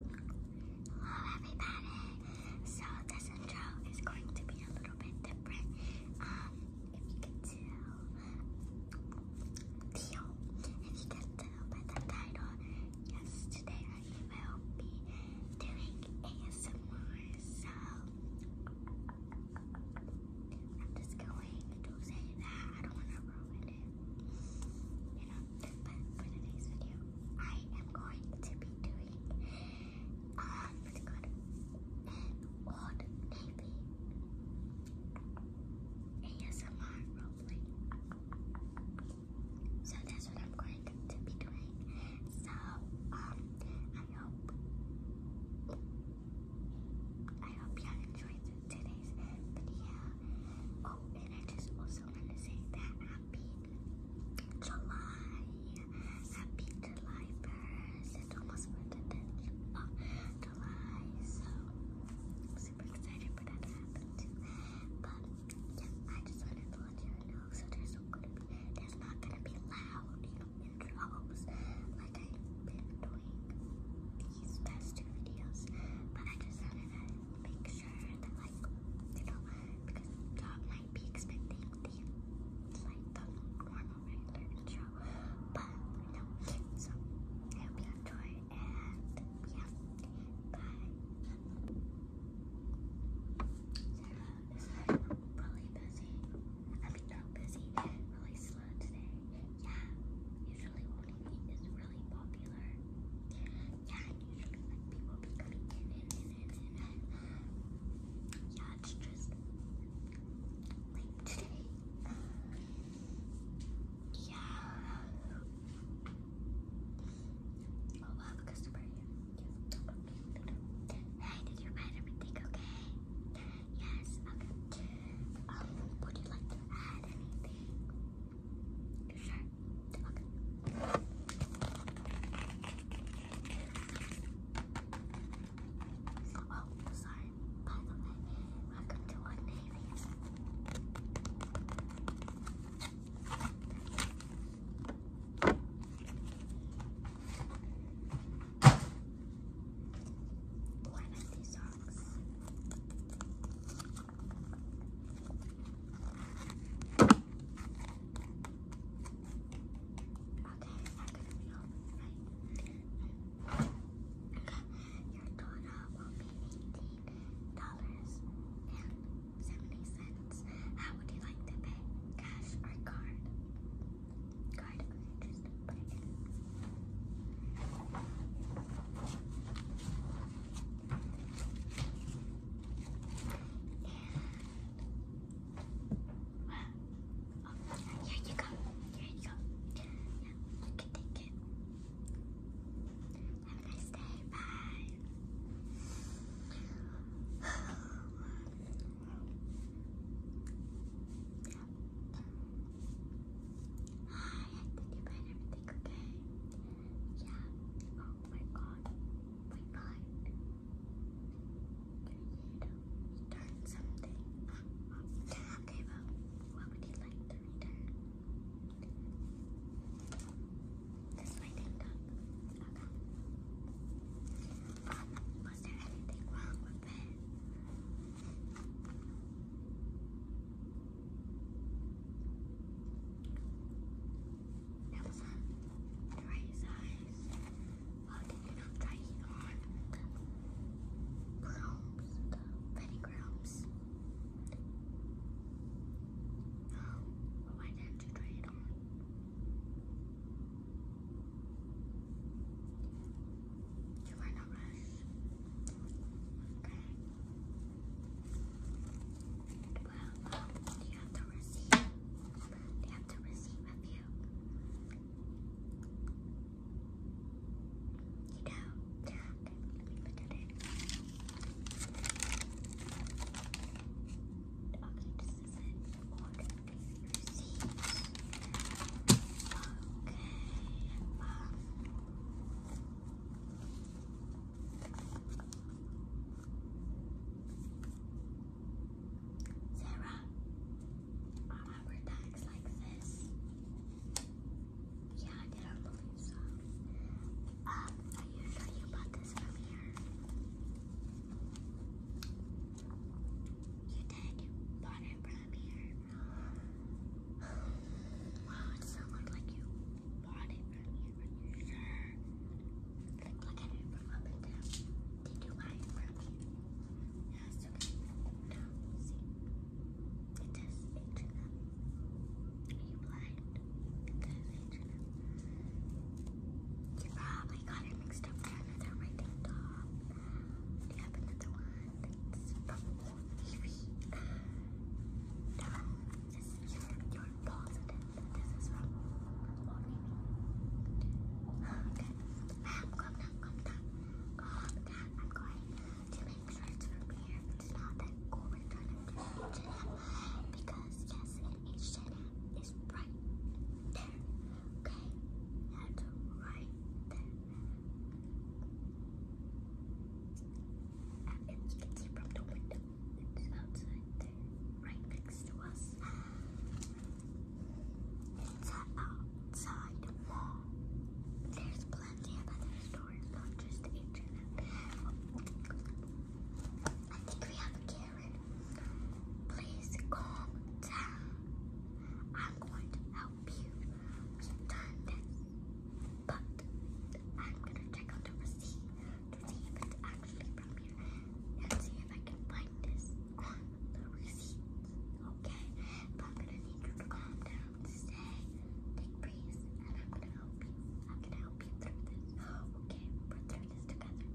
Hello everybody! So this intro is going to be a little bit different. Um, if you can tell, If you can tell by the title, yes, today I will be doing ASMR. So I'm just going to say that I don't want to ruin it. You know, but for today's video, I am going to be doing um, what's good, an Old Navy ASMR roleplay. So that's what I'm going to be doing. So um, I hope I hope y'all enjoyed today's video. Oh, and I just also also want to say that happy July. Happy July 1st. It's almost for the 10th of July. So I'm super excited for that to happen too. But I just wanted to let you know. So there's not gonna be loud, you know, intros like I've been doing these past two videos. But I just wanted to make sure sure that like, you know, because y'all might be expecting the like the normal regular intro. But you so I hope enjoy and yeah, bye. Sarah busy. I mean not busy, really slow today. Yeah, usually when movie really popular. Yeah, usually like people be coming in and yeah, it's just like today. Yeah. Oh, we'll have a Hey, did you write everything okay? Yes, Um, would you like to add anything? Sure. Okay. Oh, sorry. By the way, welcome to One Navy. these socks? eighteen dollars and seventy cents. How would you like to pay? Cash or card? Card, okay, oh, here you go. Here you go. Yeah, you take it. Have a nice day. Bye. Hi, I you find everything okay. Yeah. Oh my god. My god. You return something. okay, well, what would you like to return? This my thing up. Okay. Um, was there anything wrong that was on the right Why did you not try it on the grams, the petty why didn't you try it on? You are not rush. Okay. Well, um, you have the receipt? Do have the receipt of you? You do? Okay, let me look at it. Okay, this is Sarah, are my rubber like this? Yeah, I didn't believe so. Um, are you you bought this from here? You did? Bought it up here. Wow, it sounds like you bought it from you, from your shirt. look at it from up and down. Did you buy it from you? Yes, okay. No, see? It says h Are you blind? It says h You probably got it mixed up for another writing top. We have another one that's from Evie. That is your, your positive. This is from Orimi. Okay. Ma'am, calm down, calm down. Calm down. I'm going to make sure it's from It's not that golden color to Because, yes, an HJM right there. Okay, right there. And you can see from the window, it's outside there, right next to us. It's outside There's plenty of other stores, not just H&M. I think we have a Karen. Please calm down. I'm going to help you. We've this, but I'm gonna check out the receipt to see if it's actually from here and see if I can find this on the receipt. Okay, but I'm gonna need you to calm down, stay, take breaths, and I'm gonna help you. I'm gonna help you through this. Okay, we're through this together.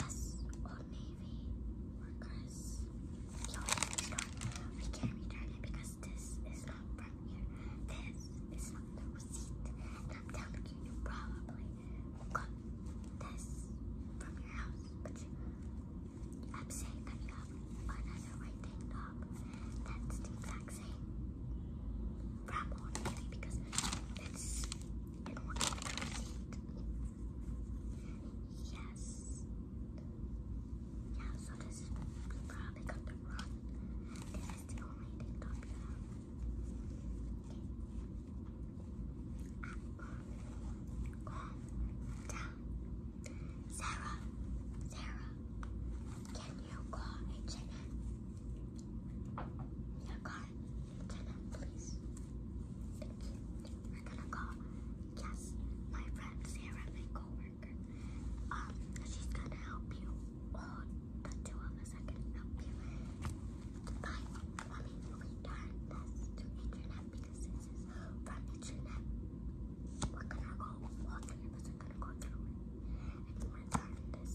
us or maybe Marcus. Yo, we can't return it because this is not from here. This is not the receipt. I'm telling you, you probably got this from your house, but you, I'm saying that you have another writing top that's the from Navy because it's and Yes. Yeah, so this probably got the This is the only thing Okay. Calm down. Sarah, Sarah, can you call a your car, turn up, please. Thank you. We're gonna call. Yes, my friend Sarah, my coworker. Um, she's gonna help you. Oh, the two of us are gonna help you. Fine. Let me return this to internet because this is from internet. We're gonna go. All three of us are gonna go through it and return this.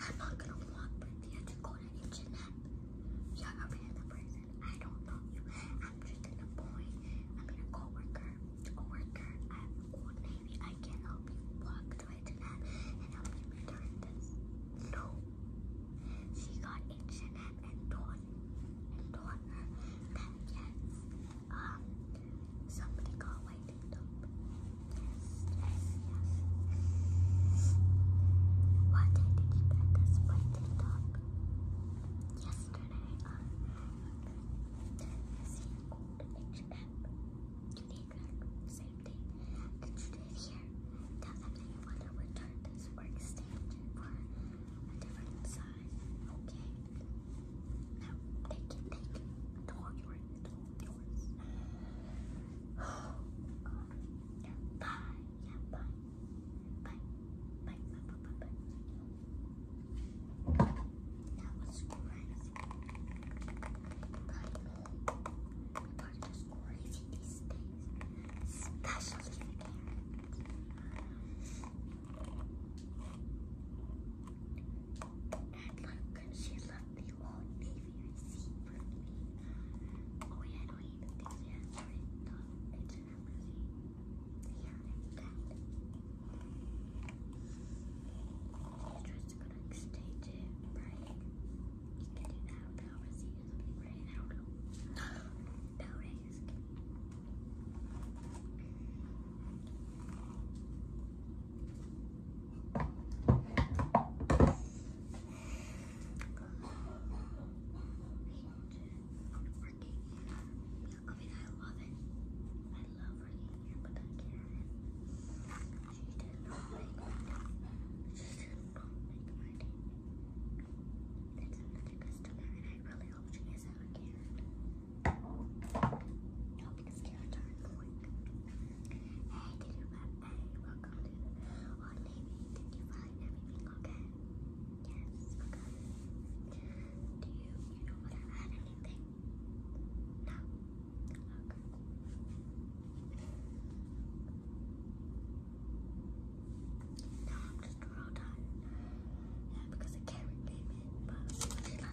I'm not gonna want Cynthia to go to internet. You're a random person. I don't know you. I'm just an employee. I mean a co-worker. A worker at Old Navy. I can help you walk to internet and help you return this. No. She got internet and told and told her that yes, um, somebody called my TikTok. Yes, yes, yes. What did you get this by TikTok? Yesterday, um, this here called H&M. Today, same day. And today here, definitely want to return this workstation for a different size. Okay. Now, take it, take it. It's yours, it's yours. bye, yeah, bye. Bye, bye, bye, bye, bye, bye. That was crazy. But, but just crazy these days. Especially and look, she left the old navy receipt Oh yeah, no, you can do It's written on it's it's that. just gonna like, stay right? You can do that with I don't know noticed. Working I love working here, but I can She did not make my She did not make my hope No, because Karen's are annoying. Hey, did you buy? Hey, welcome to Odd Navy. Did you find everything okay? Yes, okay. Do you, you know what had anything? No. Okay. Now I'm just real tired. Yeah, because I did not to it there.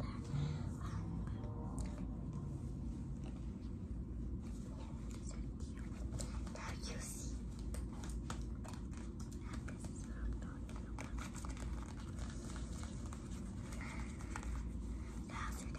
Um, yeah, these are cute. Now you see. And this is what I'm talking about. Now, after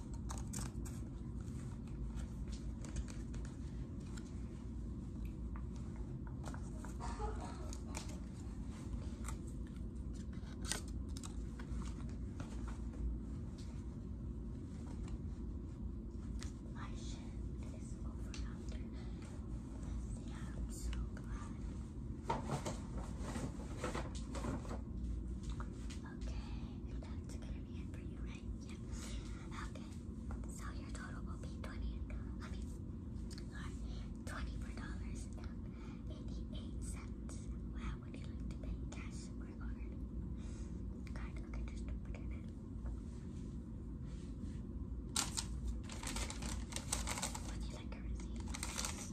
My shift is over after Wednesday. I'm so glad. Okay, that's gonna be it for you, right? Yeah. Okay. So your total will be twenty. twenty-four dollars and eighty-eight cents. Wow, would you like to pay cash or card? Card. Okay, just put it in. Would you like a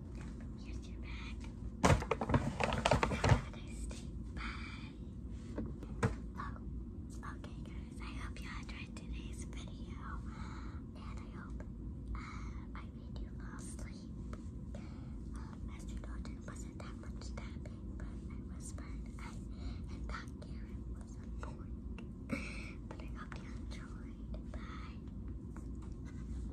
okay guys, I hope you enjoyed today's video. And I hope I made you fall asleep. Um, as wasn't that much tapping, but I whispered and that Karen was annoying. but I hope you enjoyed. Bye.